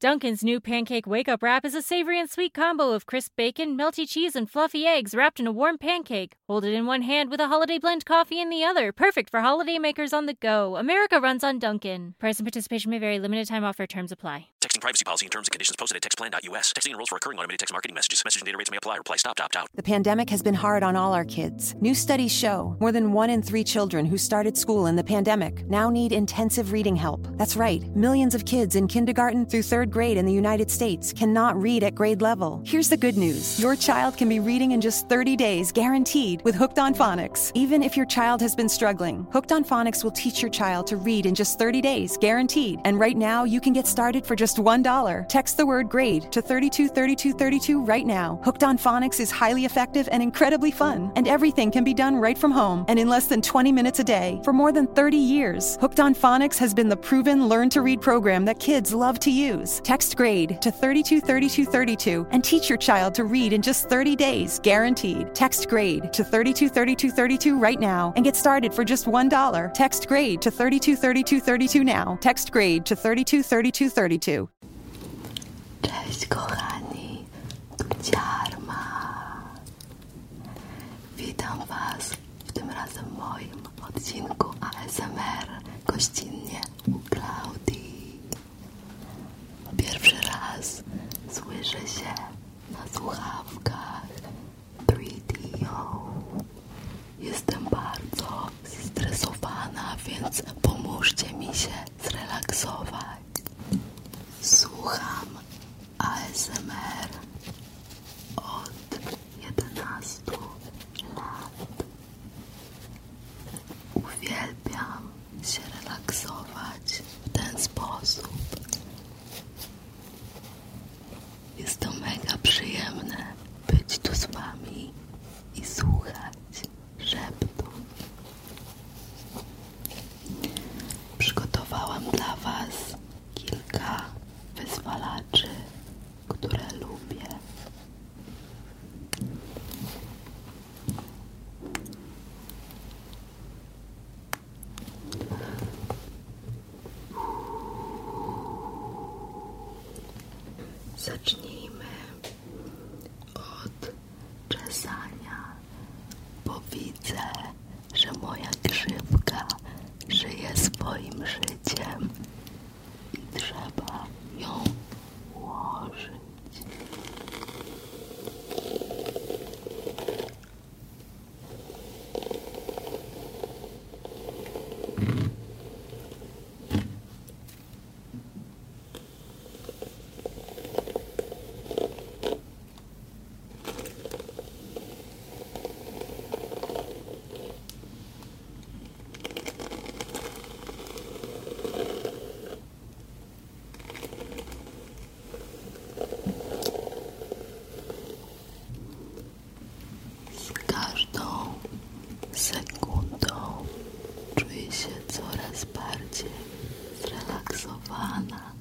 Duncan's new pancake wake up wrap is a savory and sweet combo of crisp bacon, melty cheese, and fluffy eggs wrapped in a warm pancake. Hold it in one hand with a holiday blend coffee in the other. Perfect for holiday makers on the go. America runs on Duncan. Price and participation may vary. Limited time offer. Terms apply. Texting privacy policy and terms and conditions posted at textplan.us. Texting rules for recurring automated text marketing messages. Message and data rates may apply. Reply stop. Opt out. The pandemic has been hard on all our kids. New studies show more than one in three children who started school in the pandemic now need intensive reading help. That's right, millions of kids in kindergarten through third grade in the United States cannot read at grade level. Here's the good news your child can be reading in just 30 days, guaranteed, with Hooked on Phonics. Even if your child has been struggling, Hooked on Phonics will teach your child to read in just 30 days, guaranteed. And right now, you can get started for just $1. Text the word grade to 323232 right now. Hooked on Phonics is highly effective and incredibly fun and everything can be done right from home and in less than 20 minutes a day. For more than 30 years, Hooked on Phonics has been the proven learn to read program that kids love to use. Text grade to 323232 and teach your child to read in just 30 days, guaranteed. Text grade to 323232 right now and get started for just $1. Text grade to 323232 now. Text grade to 323232. Cześć kochani, tu Ciarma. Witam Was w tym razem moim odcinku ASMR gościnnie u Claudi. Pierwszy raz słyszę się na słuchawkach 3DO. Jestem bardzo zestresowana, więc pomóżcie mi się zrelaksować. Słucham ASMR od jedenastu lat. Uwielbiam się relaksować w ten sposób. Jest to mega przyjemne być tu z Wami i słuchać Przygotowałam dla Was kilka wyzwalaczy, które lubię. Zacznijmy od czesania, bo widzę, że moja grzywka żyje swoim życiem i trzeba ją ułożyć. Z każdą sekundą czuję się coraz jest bardziej zrelaksowana.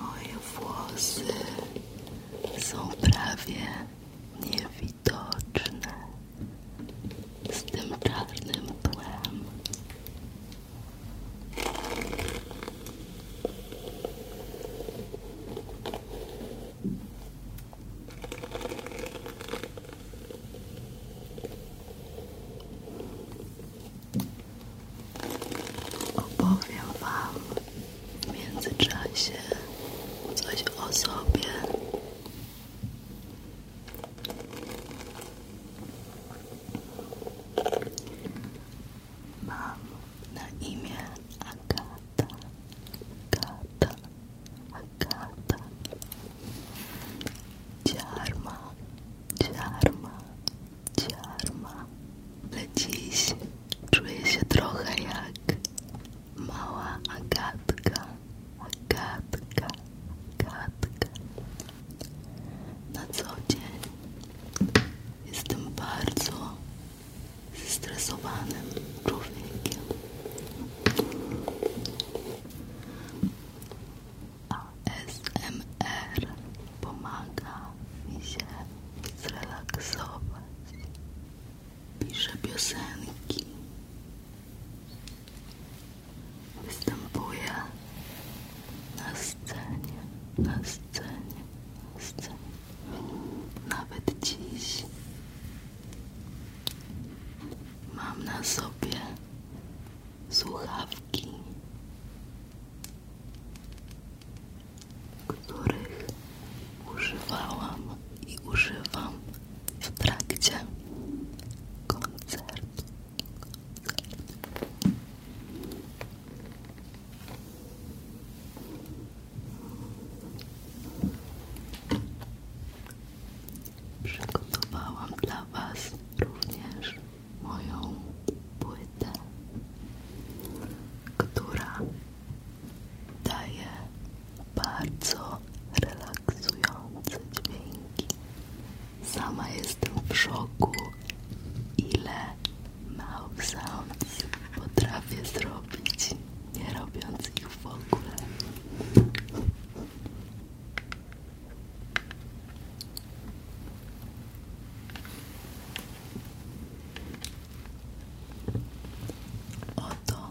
Moje włosy są prawie niewidoczne z tym czarnym tłem. Opowiem Wam w międzyczasie coś o sobie Mam na imię Agata, Agata, Agata. Ciarma, ciarma, ciarma. Ale dziś czuję się trochę jak Mała Agatka, Agatka, Agatka. Na co dzień jestem bardzo zestresowanym człowiekiem. a ASMR pomaga mi się zrelaksować pisze piosenki, występuje na scenie, na scenie, na scenie, nawet dziś mam na sobie słuchawki, których używałam i używam w trakcie koncertu. Przygotowałam dla Was również moją płytę, która daje bardzo relaksujące dźwięki. Sama jestem w szoku, ile mouth sounds potrafię zrobić, nie robiąc ich w ogóle. Oto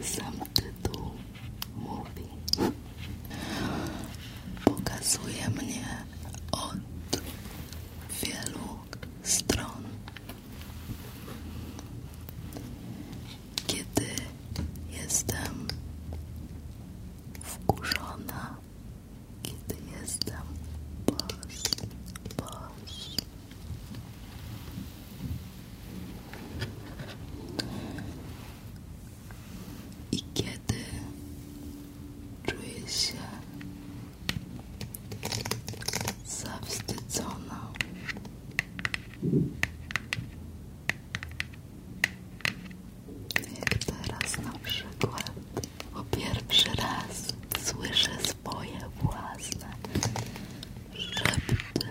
sam tytuł mówi pokazuje mnie od wielu stron kiedy jestem wkurzona kiedy jestem boss, boss i kiedy czuję się zawstydzona, jak teraz na przykład, po pierwszy raz słyszę swoje własne szepty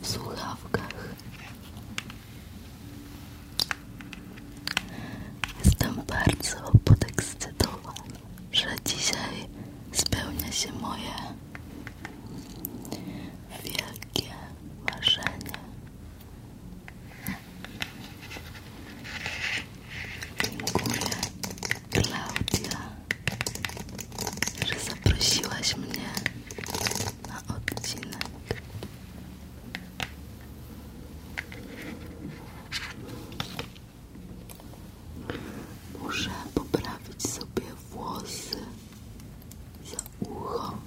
w słuchawkach. Jestem bardzo podekscytowana, że dzisiaj spełnia się moje wielkie marzenie. Klaudia, że mnie na odcinek. Muszę poprawić sobie włosy za ucho.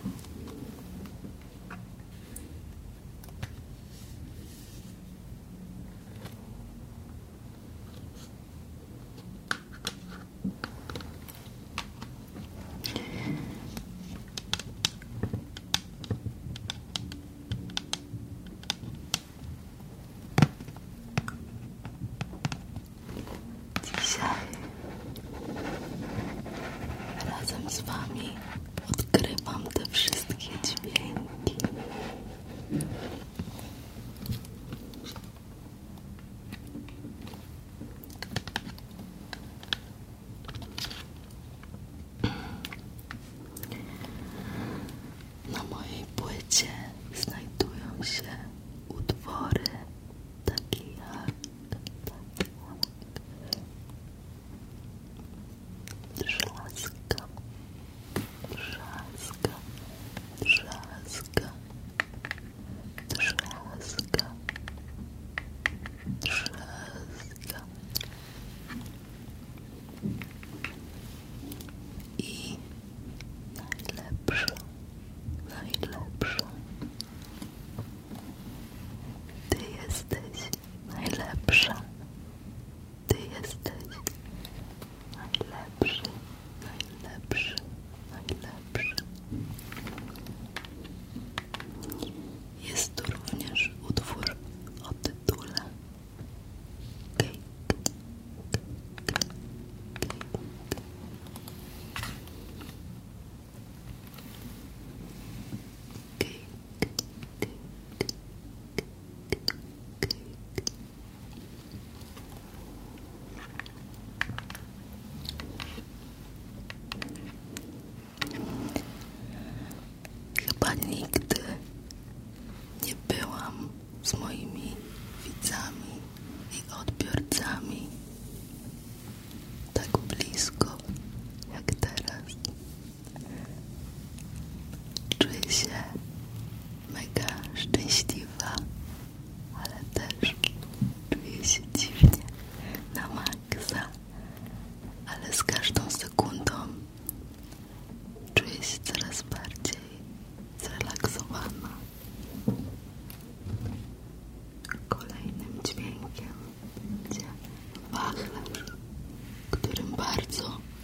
Dzisiaj razem z Wami odkrywam te wszystkie dźwięki. Na mojej płycie znajdują się utwory takie jak Żelazka Trzaska, trzaska, trzaska, trzaska. I najlepsza, najlepsza, Ty jesteś najlepsza. Ty jesteś najlepszy, najlepszy, najlepszy. Jest tu również utwór o tytule Chyba nigdy nie byłam z moimi widzami i odbiorcami tak blisko jak teraz. Czuję się mega szczęśliwa, ale też czuję się dziwnie na maksa, ale z każdą sekundą czuję się coraz bardziej zrelaksowana. Kolejnym dźwiękiem będzie wachlarz, którym bardzo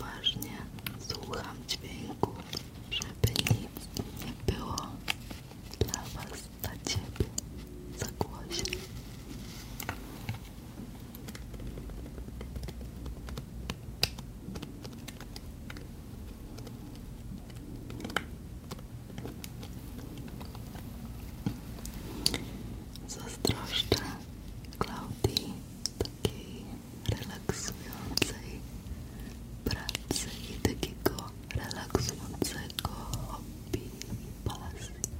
Uważnie słucham dźwięku, żeby nic nie było dla Was, dla Ciebie za głośno. Zazdroszczę takiej relaksującej pracy i takiego relaksującego hobby i pasji.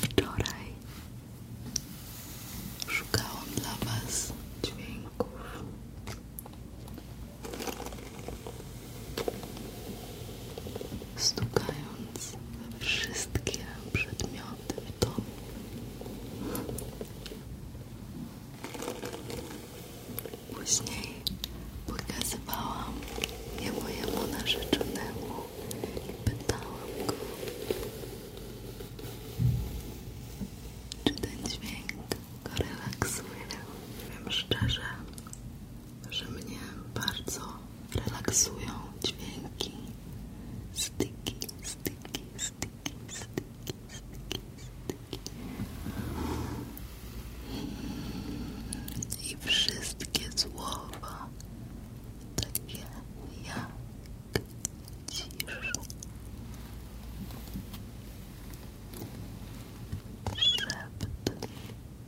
Wczoraj szukałam dla Was dźwięków stukając we wszystkie przedmioty w domu. Później pokazywałam je mojemu narzeczonemu i pytałam go, czy ten dźwięk go relaksuje. Wiem szczerze, że mnie bardzo relaksują dźwięki styki, styki, styki, styki, styki, styki. I wszystkie słowa takie jak cisza. Szept,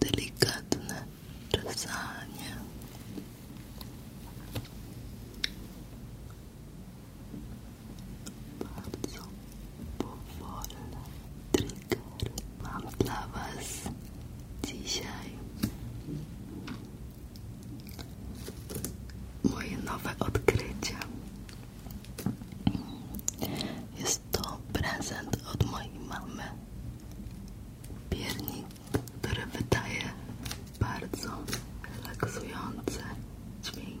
delikatne czesanie bardzo powolne trigger mam dla was dzisiaj moje nowe odkrycia jest to prezent od mojej mamy. Piernik, który wydaje bardzo relaksujące dźwięki.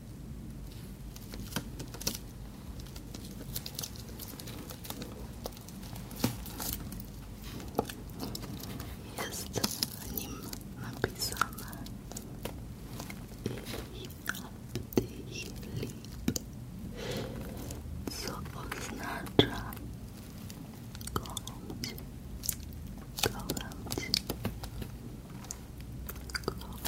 Jest na nim napisane i co oznacza kocham cię, kocham cię, kocham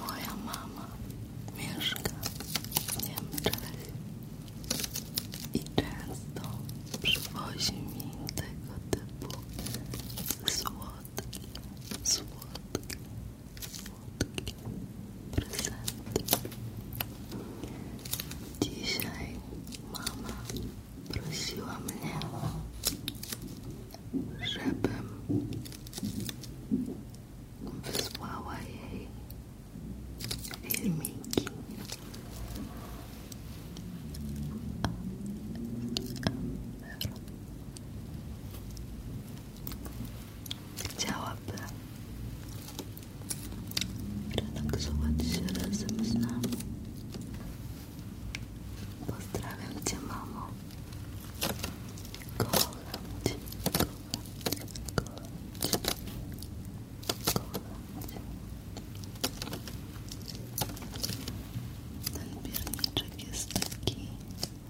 Moja mama mieszka w Niemczech i często przywozi mi tego typu słodki, słodki, słodki prezent. Dzisiaj mama prosiła mnie żebym wysłała jej filmiki chciałaby relaksować się razem z nami Pozdrawiam Cię, mamo. Kocham Cię, kocham Cię, kocham Cię, kocham Cię. Ten pierniczek jest taki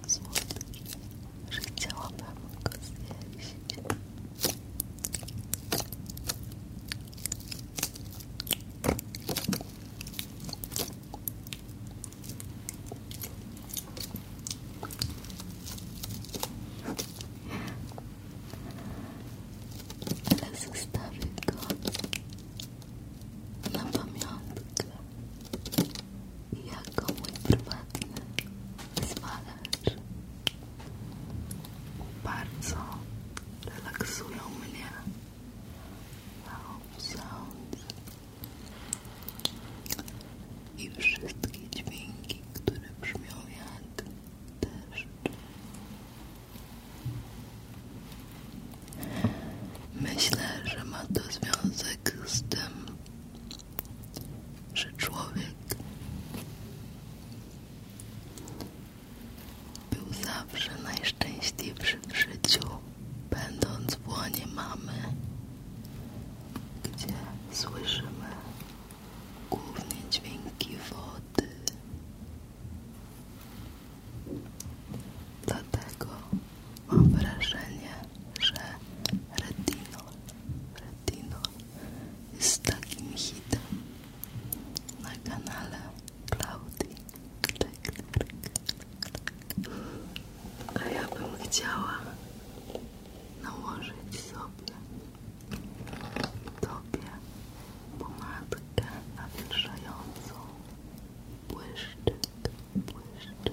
słodki, że chciałabym go zjeść. Ale zostawię go na pamiątkę jako mój prywatny zwalecz. Bardzo relaksują mnie sounds i wszystkie dźwięki, które brzmią jak deszcz. Myślę, że ma to związek z tym, że człowiek był zawsze najszczęśliwszy w życiu, będąc w łonie mamy, gdzie słyszymy głównie dźwięki wody. Dlatego mam wrażenie, że retinol, retinol jest takim hitem na kanale Klaudii. A ja bym chciała nałożyć sobie tobie pomadkę nawilżającą błyszczyk, błyszczyk.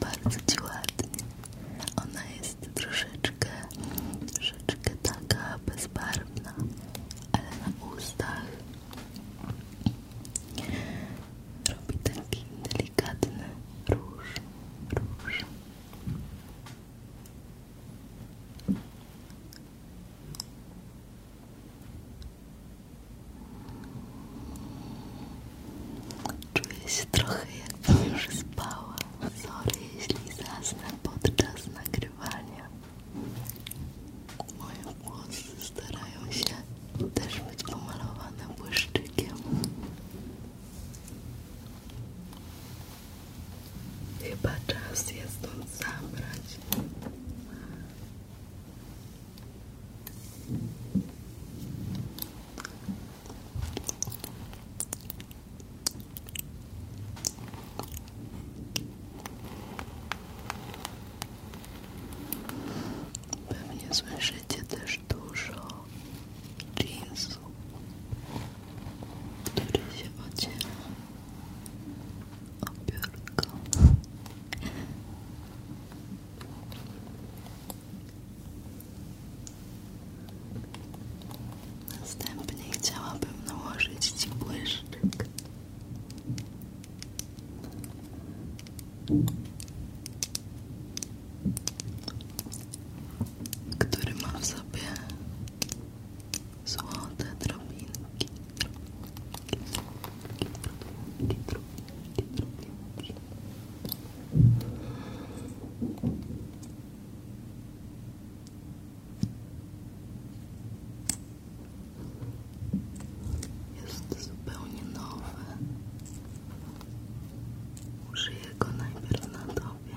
Bardzo Ona jest troszeczkę, troszeczkę taka bezbarwna, ale na ustach robi taki delikatny róż, róż. Czuję się trochę jakbym już spała. Sorry, jeśli zasnę podczas nagrywania. Moje włosy starają się też być pomalowane błyszczykiem. Chyba czas je stąd zabrać. Pewnie słyszycie też dużo jeansu, który się Obiórko. Następnie chciałabym nałożyć Ci Który ma w sobie złote drobinki, Jest zupełnie nowy. Użyję go najpierw na tobie.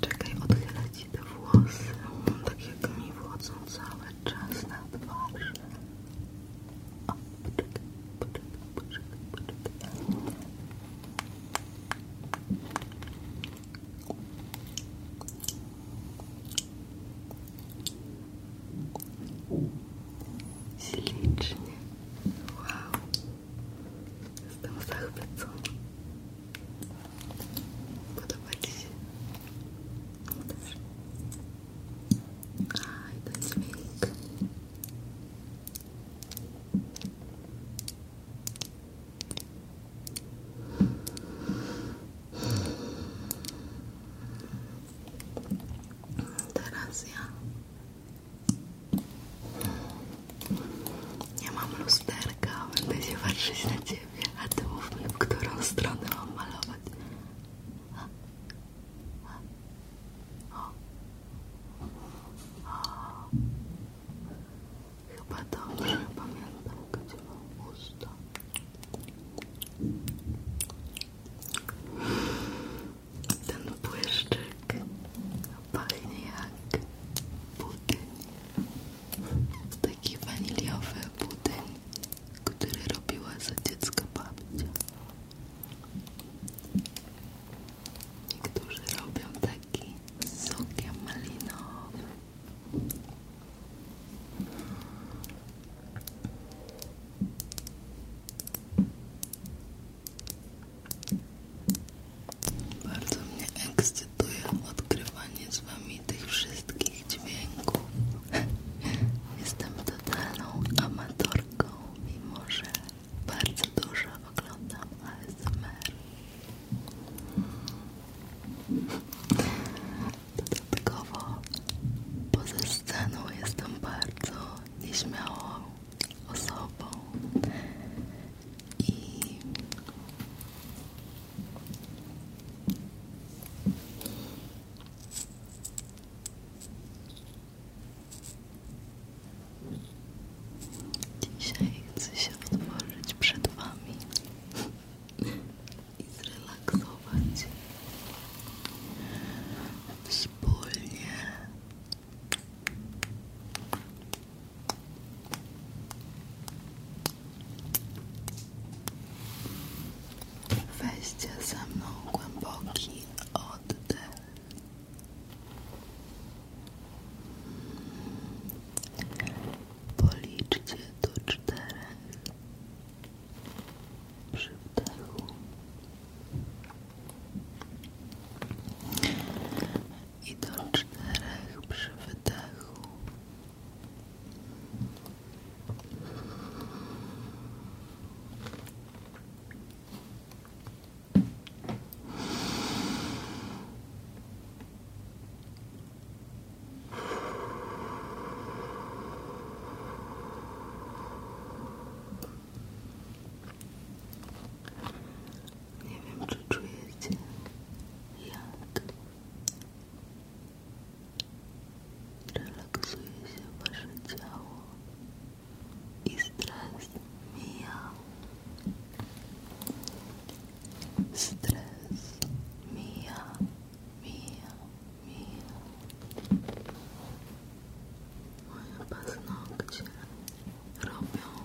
Czekaj, odchylę ci te włosy, tak jak mi wchodzą cały czas na twarz. O, Jestem zachwycona. Podoba Ci się? Dobrze. ten dźwięk. Teraz ja ja mam lusterka, będę się patrzeć na ciebie, a ty mów mi, w którą stronę mam malować. A. A. O. O. Chyba dobrze pamiętam, gdzie mam usta. Ten błyszczyk jak pachnie jak budyń taki waniliowy budyń który robiła za dziecko babcia niektórzy robią taki z sokiem malinowym bardzo mnie ekscytuje odkrywanie z wami tych wszystkich dźwięków. Jestem totalną amatorką, mimo że bardzo dużo oglądam ASMR. Dodatkowo poza sceną jestem bardzo nieśmiałą osobą dzisiaj chcę się otworzyć przed Wami i zrelaksować wspólnie Weźcie ze mną głęboki oddech. Policzcie do czterech przy wdechu i do czterech przy wydechu. Nie wiem, czy czujecie jak relaksuje się wasze ciało i stres mija. Stres mija, mija, mija. Moje paznokcie robią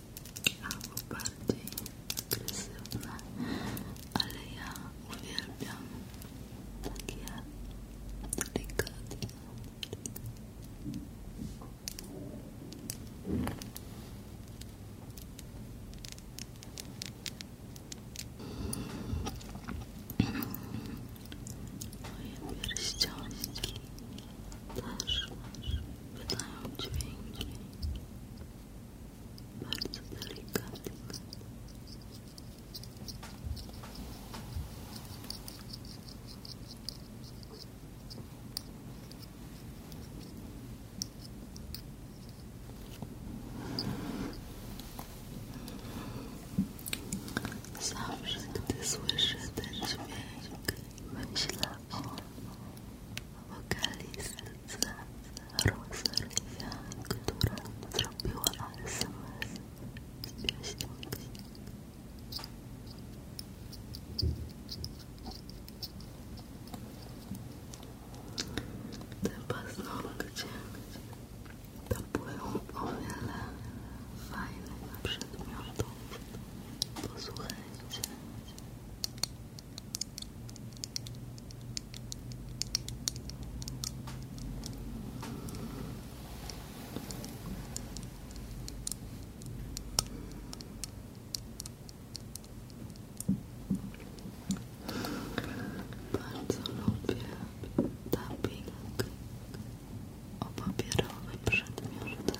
albo bardziej agresywne, ale ja uwielbiam takie delikatne. Moje pierścionki też masz, wydają bardzo delikatnie Zawsze, gdy słyszę ten dźwięk, myślę o wokali serca Rosarysia, która zrobiła SMS z pieśnią Te paznokcie to były o wiele fajnych przedmiotów. Posłuchajcie. Bardzo lubię tapping o papierowe przedmioty.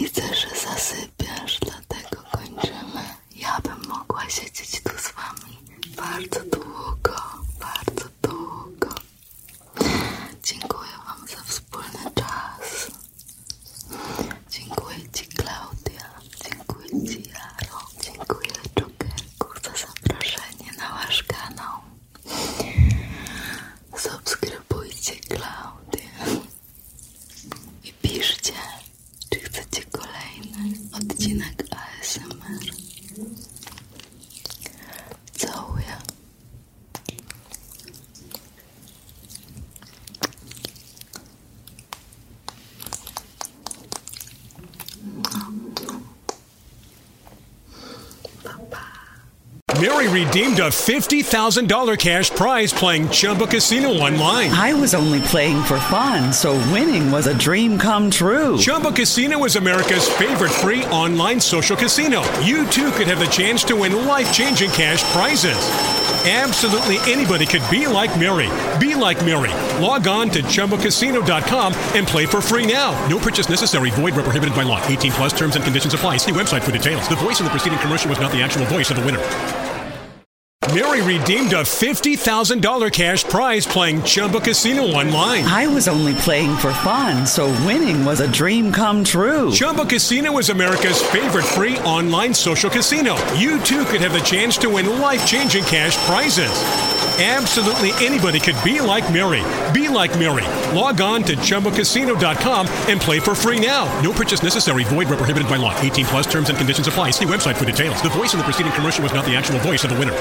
Widzę, że zasypiasz, dlatego kończymy. Ja bym mogła siedzieć tu z wami bardzo długo, bardzo długo. Dziękuję Wam za wspólny czas. Dziękuję Ci Klaudia, dziękuję Ci Jaro, dziękuję Jokerku za zaproszenie na Wasz kanał. Subskrybujcie Klaudię i piszcie, czy chcecie kolejny odcinek ASMR. Całuję Mary redeemed a $50,000 cash prize playing Chumba Casino online. I was only playing for fun, so winning was a dream come true. Chumba Casino was America's favorite free online social casino. You too could have the chance to win life changing cash prizes. Absolutely anybody could be like Mary. Be like Mary. Log on to ChumboCasino.com and play for free now. No purchase necessary. Void where prohibited by law. 18 plus terms and conditions apply. See website for details. The voice in the preceding commercial was not the actual voice of the winner. Mary redeemed a $50,000 cash prize playing Chumba Casino online. I was only playing for fun, so winning was a dream come true. Chumba Casino is America's favorite free online social casino. You too could have the chance to win life changing cash prizes. Absolutely anybody could be like Mary. Be like Mary. Log on to ChumboCasino.com and play for free now. No purchase necessary. Void where prohibited by law. 18 plus terms and conditions apply. See website for details. The voice in the preceding commercial was not the actual voice of the winner.